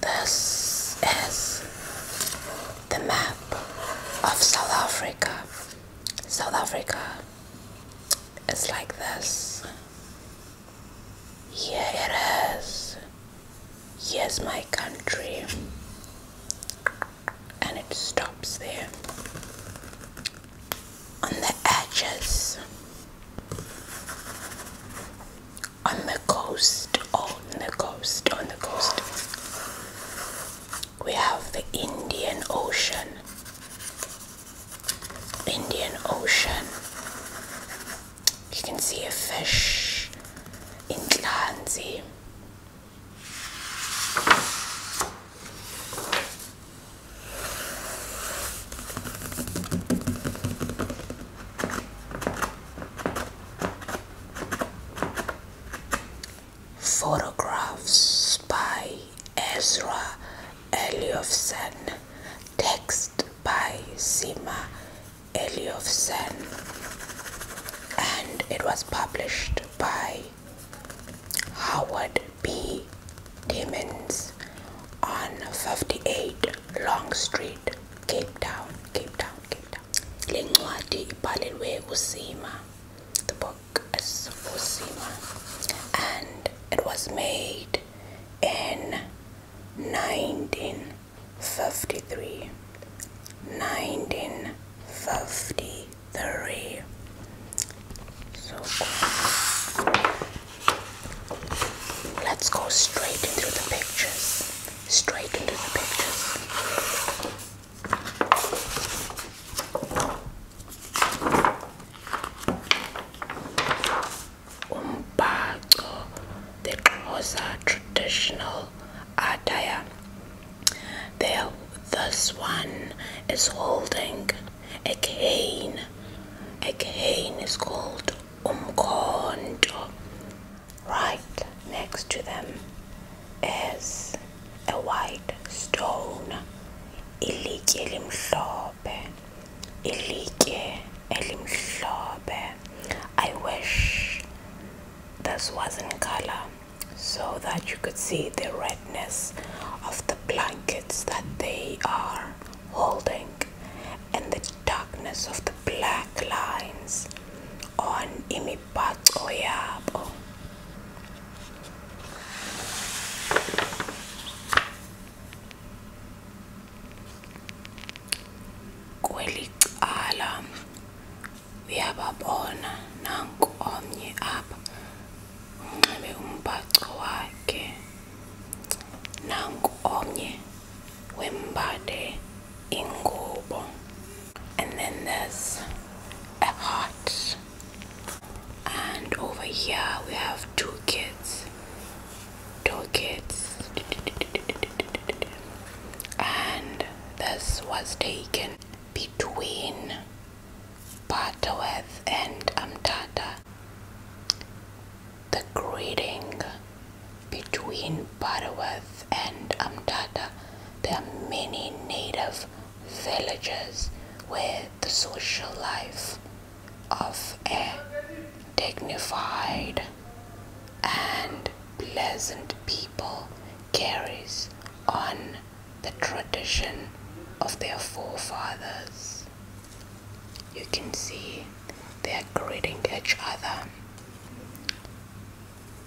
This is the map of South Africa. South Africa is like this. Yeah, it is here's my country and it stops there on the edges on the coast on the coast on the coast we have the Indian Ocean Indian Ocean you can see a fish in Clansea. Photographs by Ezra Eliofson, text by Sima Eliofsen and it was published by Howard B. Timmins on 58 Long Street, Cape Town, Cape Town, Cape Town. Lingwadi ibhalelwe uSima. The book is and it was made in 19 53 1953 so cool. let's go straight into the pictures straight into the pictures umbhaco the xhosa traditional attire there this one is holding a cane a cane is called umkhonto right next to them is a white stone ilitye limhlophe ilitye i wish this was not color so that you could see the redness of the blankets that they are holding and the darkness of the black lines on imibhaco yabo kweli cala uyababona nanku omnye apha unxibe umbhaco wakhe nanku omnye wembade ingubo and then there's a heart and over here we have two kids two kids and this was taken between Butterworth and Amtata. The greeting between Butterworth and Amtata, there are many native villages where the social life of a dignified and pleasant people carries on the tradition of their forefathers. You can see they're greeting each other.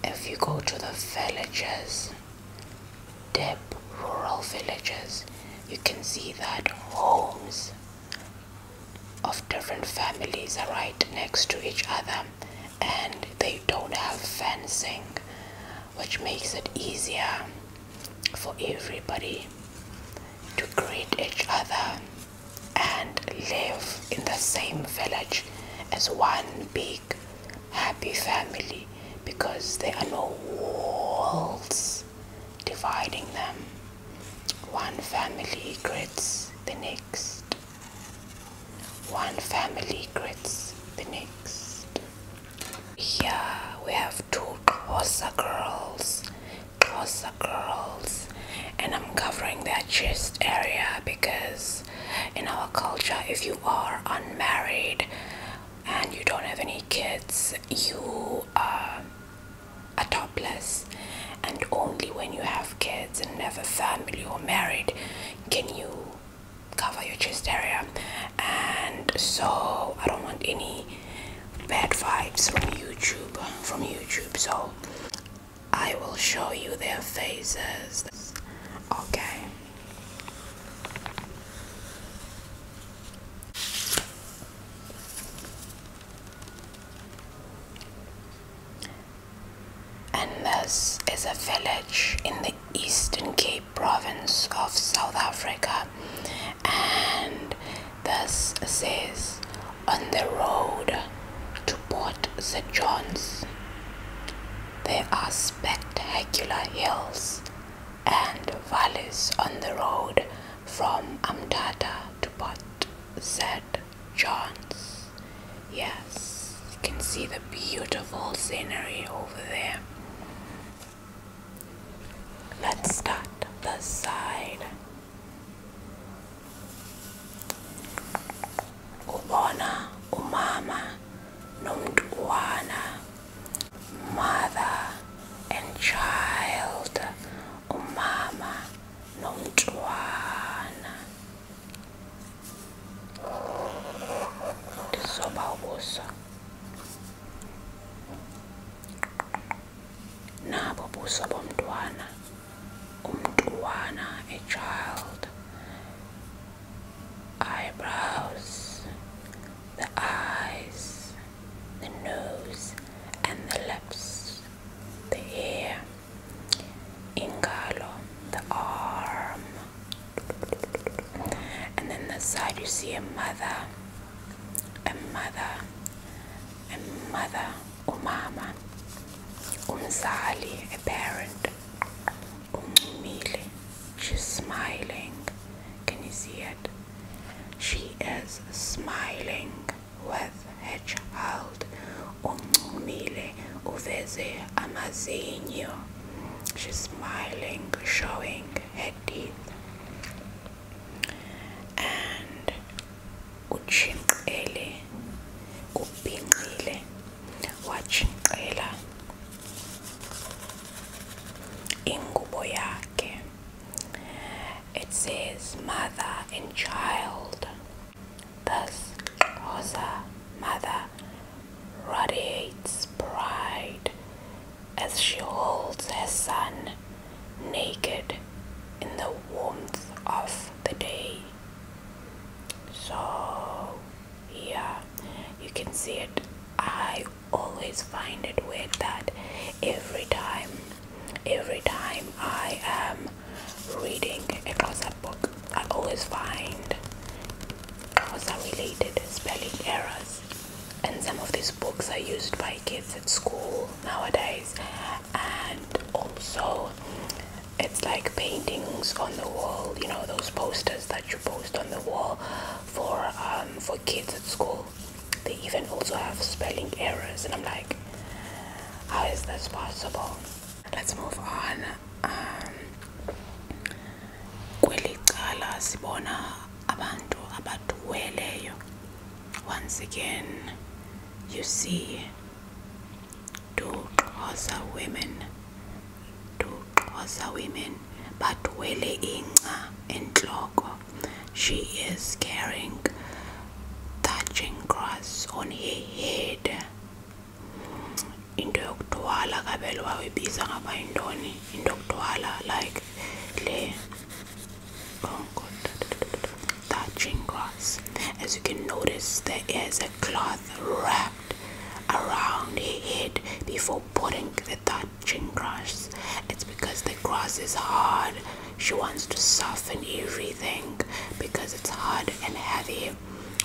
If you go to the villages, deep rural villages, you can see that homes of different families are right next to each other and they don't have fencing which makes it easier for everybody to greet each other and live in the same village as one big happy family because there are no walls dividing them. One family greets the next. One family greets the next. Here we have two crosser girls, crosser girls, and I'm covering their chest area because in our culture, if you are unmarried and you don't have any kids, you uh, a topless, and only when you have kids and have a family or married can you cover your chest area. And so, I don't want any bad vibes from YouTube. From YouTube, so I will show you their faces. Okay. And this is a village in the Eastern Cape province of South Africa. And this says on the road to Port St. John's, there are spectacular hills and valleys on the road from Amtata to Port St. John's. Yes, you can see the beautiful scenery over there. Let's start the side. Ubona umama nomntwana, mother and child, umama Number nomntwana ndizoba ubuso nabo buso bomntwana umntwana a child eyebrows the eyes the nose and the lips the ear ingalo, the arm, and then the side you see a mother, a mother, a mother, umama, umzali, a parent, umile, she's smiling. Can you see it? She is smiling. With a wedge-hulled uncumile uveze amazinyo she's smiling showing her teeth and utshinqele ubhinqile watshinqela ingubo yakhe it says mother and child Thus, Rosa Mother radiates pride as she holds her son naked in the warmth of the day. So, yeah, you can see it. I always find it weird that every time every time I am reading a glossary book, I always find glossary related spelling errors, and some of these books are used by kids at school nowadays, and also it's like paintings on the wall, you know, those posters that you post on the wall for um, for kids at school. They even also have spelling errors, and I'm like, how is this possible? Let's move on. Um, Kweli cala sibona abantu abathweleyo. Once again, you see two Xhosa women, two Xhosa women, but bathwele inca entloko. She is carrying Touching grass on her head into yokuthwala kabelo wayibiza ngaba yintoni into yokuthwala like le oh god thatching grass as you can notice there is a cloth wrapped around her head before putting the touching grass it's because the grass is hard she wants to soften everything because it's hard and heavy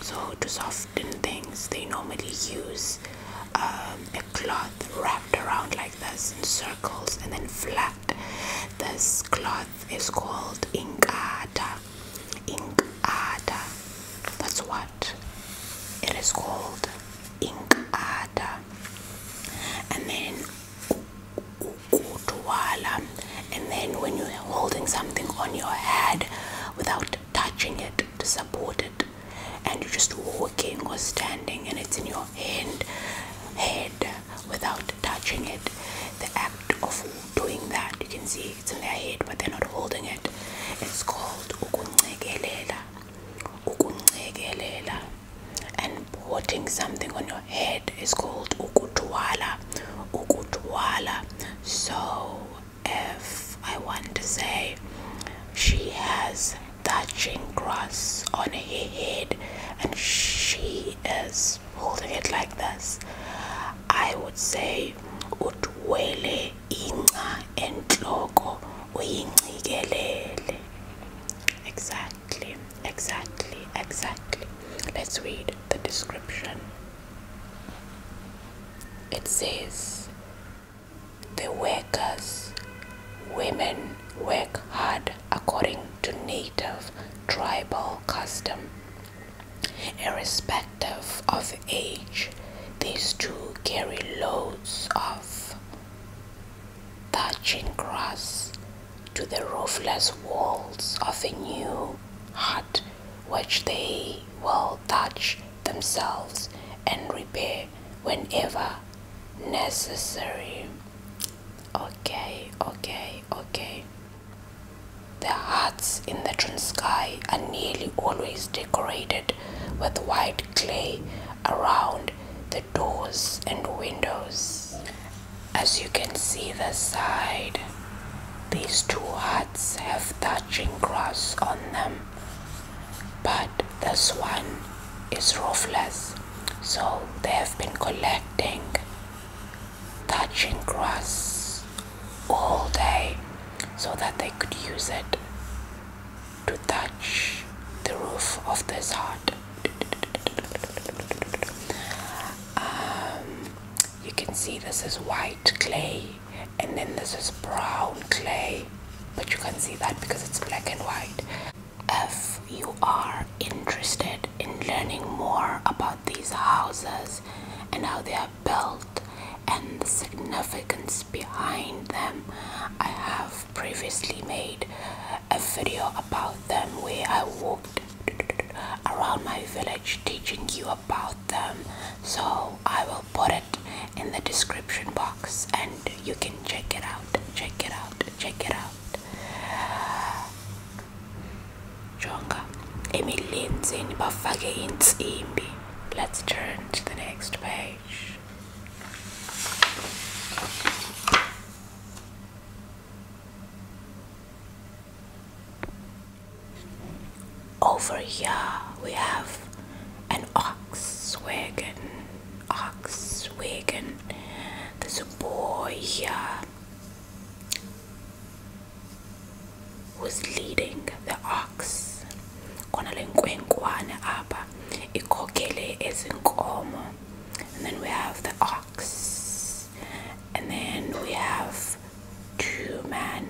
so to soften things they normally use um, a cloth wrapped around like this in circles and then flat this cloth is called inkata inkata that's what it is called inkata and then ukuthwala and then when you're holding something on your head without touching it to support it and you're just walking or standing and it's in your hand head without touching it the act of doing that you can see it's in their head but they're not holding it it's called ukuncekelela ukuncekelela and putting something on your head is called ukutwala ukutwala so if i want to say she has touching grass on her head and she is holding it like this i would say utwele ina entloko uyinxikelele exactly Exactly, exactly, Let's read the description. It says, The workers, women work hard according to native tribal custom. Irrespective of age, these two carry loads of thatching grass, to the roofless walls of a new hut which they will touch themselves and repair whenever necessary. Okay, okay, okay. The huts in the Transkei are nearly always decorated with white clay around the doors and windows. As you can see the side, these two huts have thatching grass on them, but this one is roofless, so they have been collecting thatching grass all day so that they could use it to touch the roof of this hut. Um, you can see this is white clay and then this is brown clay, but you can't see that because it's black and white. If you are interested in learning more about these houses and how they are built and the significance behind them, I have previously made a video about them where I walked around my village teaching you about them so I will put it in the description box and you can check it out check it out check it out jonga emilenzeni bafake insimbi let's turn to the next page over here we have an ox wagon. Ox wagon. There's a boy here who's leading the ox. And then we have the ox. And then we have two men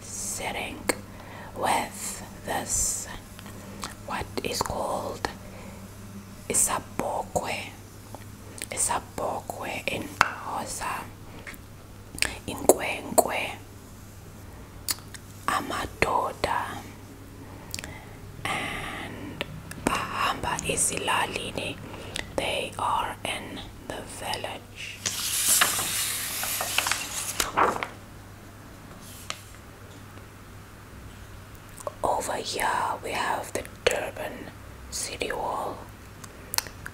sitting with this what is called It's a isabokwe. Isabokwe in Hosa. Inkwenkwe. Amadoda. And bahamba isilalini they are in the village over here we have the durban city wall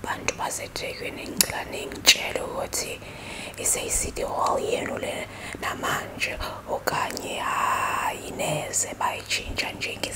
bantu basethekwini ngicane ngitshele ukuthi ise-city hall yenu le namanje okanye hayi neze bayitshintsha njenge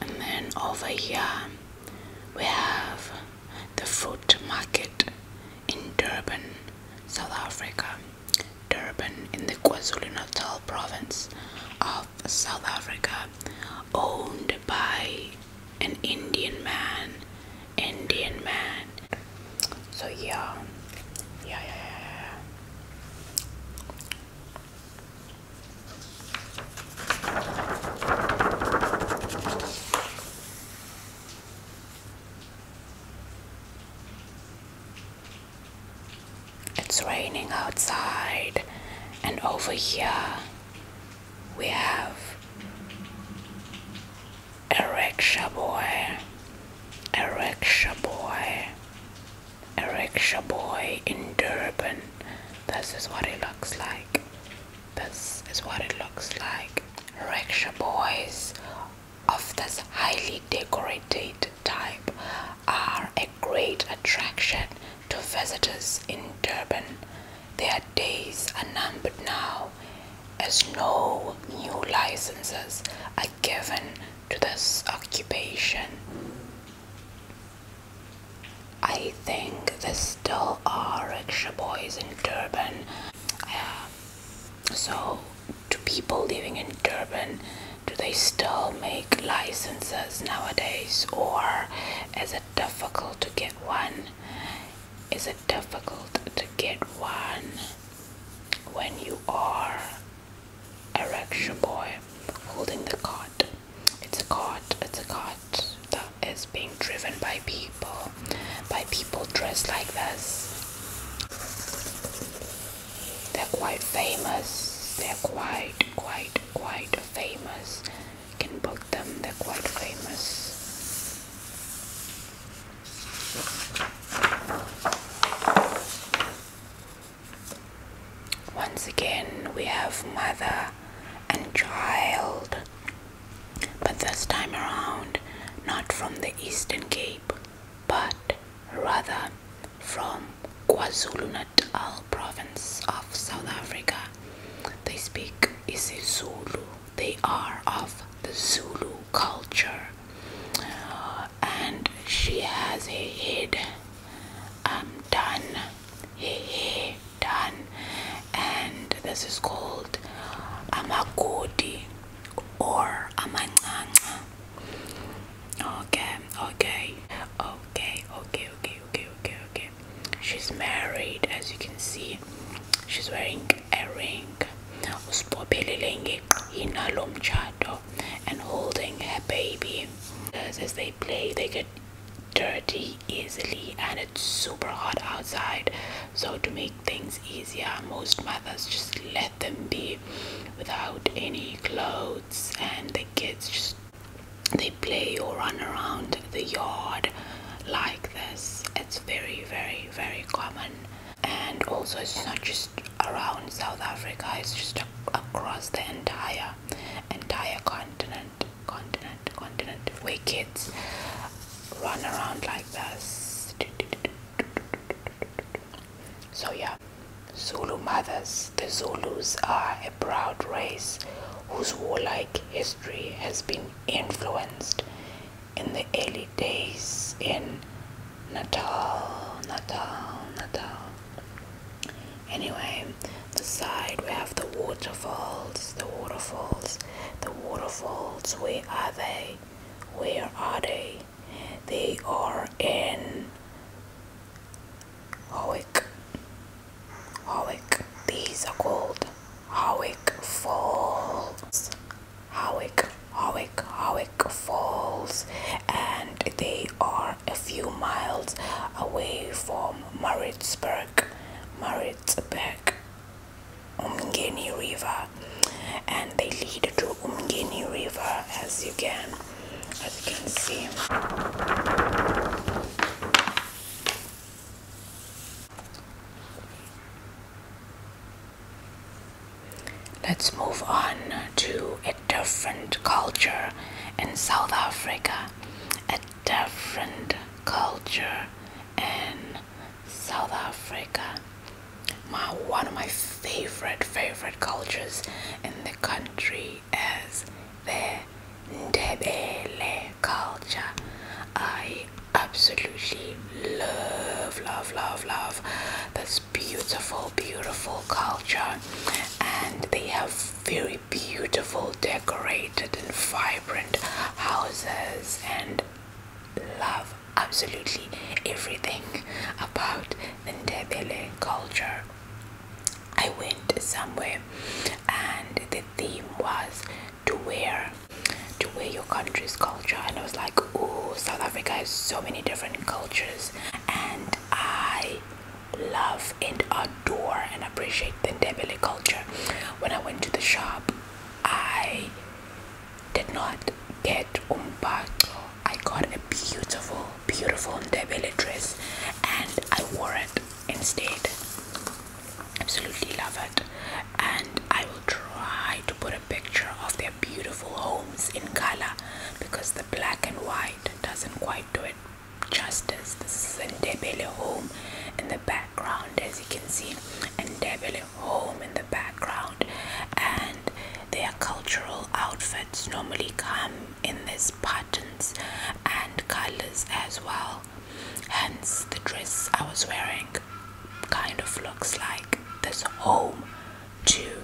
And then over here we have the fruit market in Durban, South Africa. Durban in the KwaZulu Natal province of of South Africa, owned by an Indian man. Indian man. So yeah, yeah, yeah, yeah. It's raining outside, and over here we have a rickshaw boy, a rickshaw boy, a rickshaw boy in Durban. This is what it looks like. This is what it looks like. Rickshaw boys of this highly decorated type are great attraction to visitors in Durban. Their days are numbered now as no new licenses are given to this occupation. I think there still are rickshaw boys in Durban. so, do people living in Durban do they still make licenses nowadays, or as a difficult to get one? Is it difficult to get one when you are a rickshaw boy holding the cart? It's a cart, it's a cart that is being driven by people, by people dressed like this. They're quite famous, they're quite, quite, quite famous. You can book them, they're quite famous. Once again, we have mother and child, but this time around, not from the Eastern Cape, but rather from KwaZulu-Natal province of South Africa. They speak isiZulu. They are of the Zulu culture. Uh, and she has a head um, done. Hey, hey, done. And this is called amagodi or amanganga. Okay, okay, okay, okay, okay, okay, okay, okay she's married as you can see she's wearing a ring usibophelelenge yinalo mtshato and holding her baby as they play they get dirty easily and it's super hot outside so to make things easier most mothers just let them be without any clothes and the kids just they play or run around the yard like this. It's very, very, very common. And also, it's not just around South Africa, it's just across the entire entire continent, continent, continent, where kids run around like this. So yeah, Zulu mothers, the Zulus are a proud race whose warlike history has been influenced in the early days in Natal, Natal, Natal. Anyway, the side we have the waterfalls, the waterfalls, the waterfalls. Where are they? Where are they? They are in Howick. Howick. These are called Howick Falls. Howick, Howick, Howick Falls, and they are a few miles away from Maritzburg, Maritzburg, Umgeni River, and they lead to Umgeni River as you can as you can see. Let's move on to a different culture in South Africa. A different culture in South Africa. My, one of my favorite, favorite cultures in the country is there. Ndebele culture. I absolutely love, love, love, love this beautiful, beautiful culture, and they have very beautiful, decorated, and vibrant houses, and love absolutely everything about the Ndebele culture. I went somewhere and the theme was to wear to wear your country's culture and I was like oh South Africa has so many different cultures and I love and adore and appreciate the Ndebele culture. When I went to the shop I did not get umbato. I got a beautiful beautiful Ndebele dress and I wore it instead. Absolutely love it, and I will try to put a picture of their beautiful homes in color because the black and white doesn't quite do it justice. This is a Ndebele home in the background, as you can see, and Ndebele home in the background, and their cultural outfits normally come in these patterns and colors as well hence the dress i was wearing kind of looks like this home too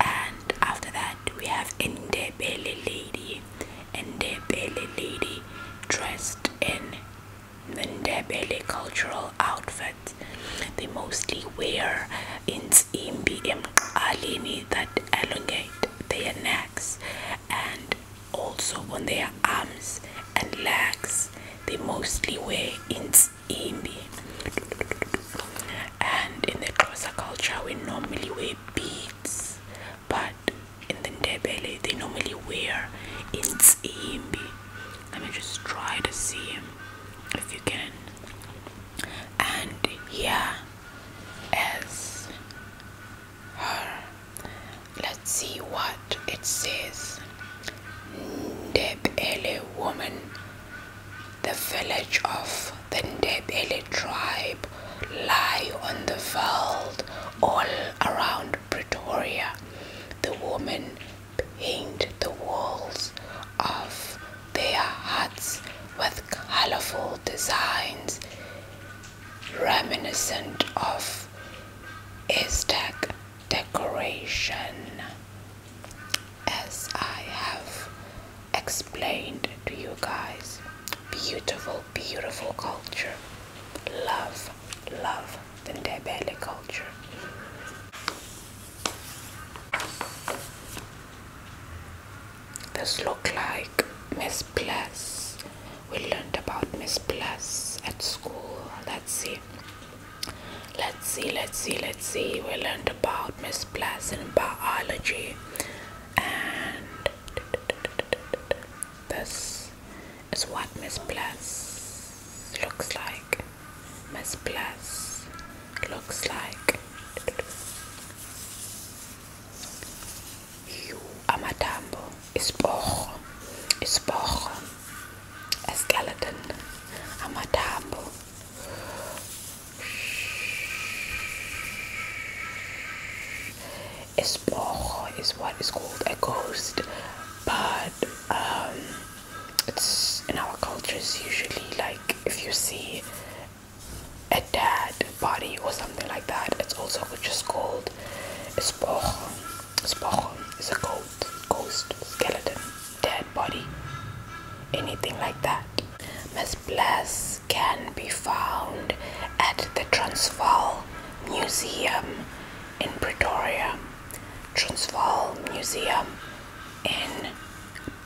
and after that we have indebele lady indebele lady dressed in Ndebele cultural outfits. they mostly wear in imbi emqaleni that elongate their neck legs and also on their arms and legs they mostly wear ins indi and in the Xhosa culture we normally wear beads but in the Ndebele they normally wear ins imbi let me just try to see if you can and yeah as her. Let's see what it says. Ndebele woman. The village of the Ndebele tribe lie on the veld all around Pretoria. The women paint the walls of their huts with colorful designs reminiscent of Aztec decoration, as I have explained to you guys. Beautiful, beautiful culture. Love, love the Ndebele culture. This looks like Miss Bliss. We learned about Miss Bliss at school. Let's see. Let's see, let's see, let's see. We learned about Miss Bliss in biology. And this is what Miss Bliss looks like. Miss Bliss looks like amathambo isiporho isiporho a-skeleton amathambo Espoch is what is called a ghost, but um, it's in our cultures usually like if you see a dead body or something like that. It's also which is called Spoch. Spoch is a ghost, ghost, skeleton, dead body, anything like that. Miss Bless can be found at the Transvaal Museum in Pretoria. Transvaal Museum in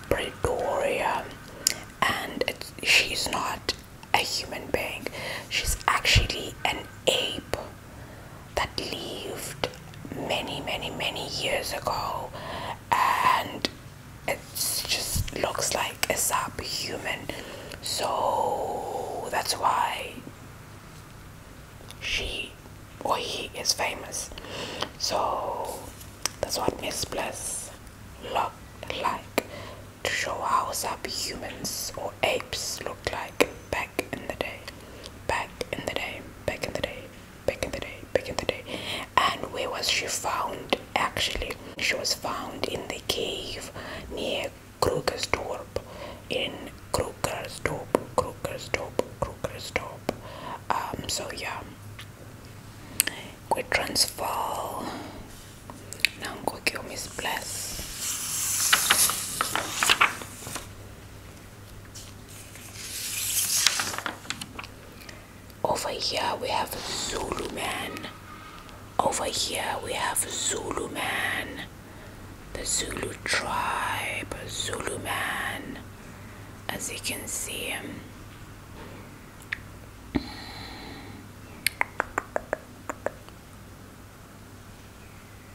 Pretoria, and she's not a human being she's actually an ape that lived many many many years ago and it just looks like a human. so that's why she or he is famous so that's what miss bliss looked like to show how sappy humans or apes looked like back in the day, back in the day, back in the day, back in the day, back in the day. And where was she found actually? She was found in the cave near Krugersdorp, in Krugersdorp, Krugersdorp, Krugersdorp. Um, so yeah. Quit transfer na ngugi umesibless over here we have Zulu man over here we have Zulu man the Zulu tribe Zulu man as you can see him.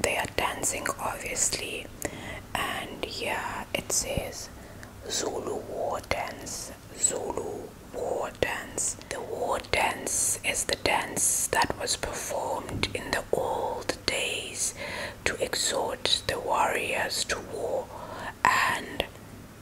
They are dancing, obviously, and yeah, it says Zulu war dance. Zulu war dance. The war dance is the dance that was performed in the old days to exhort the warriors to war and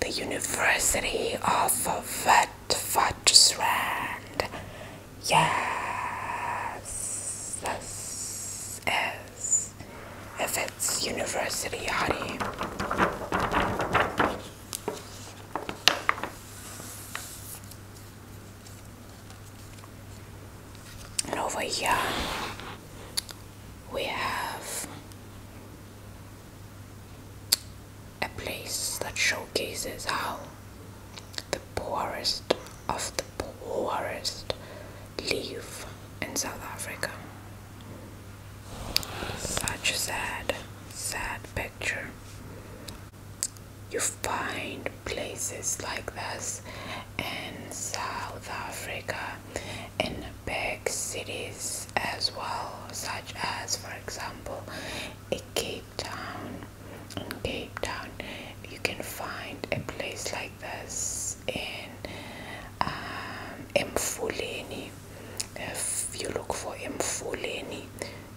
The University of Witwatersrand. Yes, this is. If it's University, honey. And over here we have a place that showcases how the poorest of the poorest live in South Africa. Such a sad, sad picture you find places like this in South Africa in big cities as well, such as, for example, a Cape Town. In Cape Town, you can find a place like this in um, Mfuleni. If you look for Mfuleni,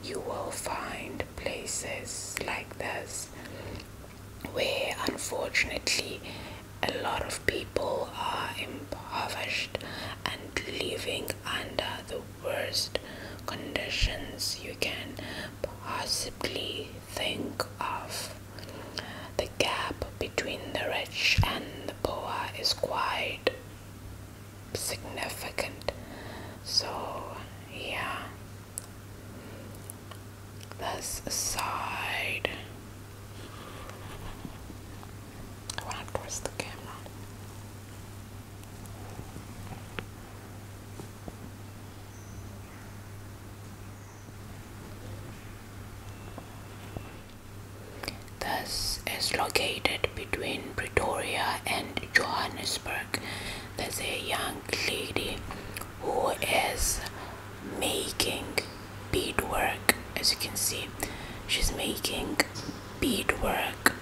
you will find places like this where unfortunately a lot of people are impoverished and living under the worst conditions you can possibly think of. The gap between the rich and the poor is quite significant. So, yeah, that's side. I want to twist the camera. This is located between Pretoria and Johannesburg there's a young lady who is making beadwork as you can see she's making beadwork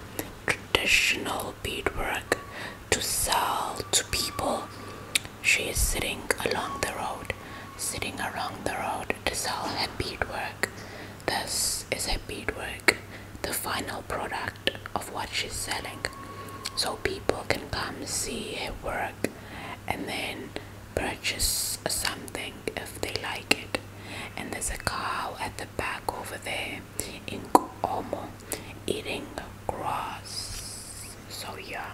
traditional beadwork to sell to people she is sitting along the road sitting along the road to sell her beadwork this is her beadwork the final product of what she's selling so people can come see her work and then purchase something if they like it and there's a cow at the back over there in Como eating grass so yeah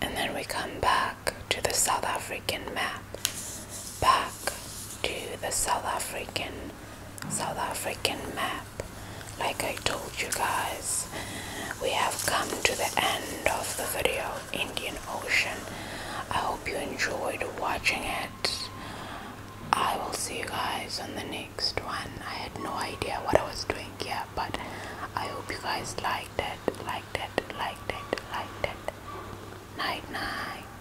and then we come back to the South African map, back to the South African, South African map. Like I told you guys, we have come to the end of the video, Indian Ocean. I hope you enjoyed watching it. I will see you guys on the next next one i had no idea what i was doing here but i hope you guys liked it liked it liked it liked it night night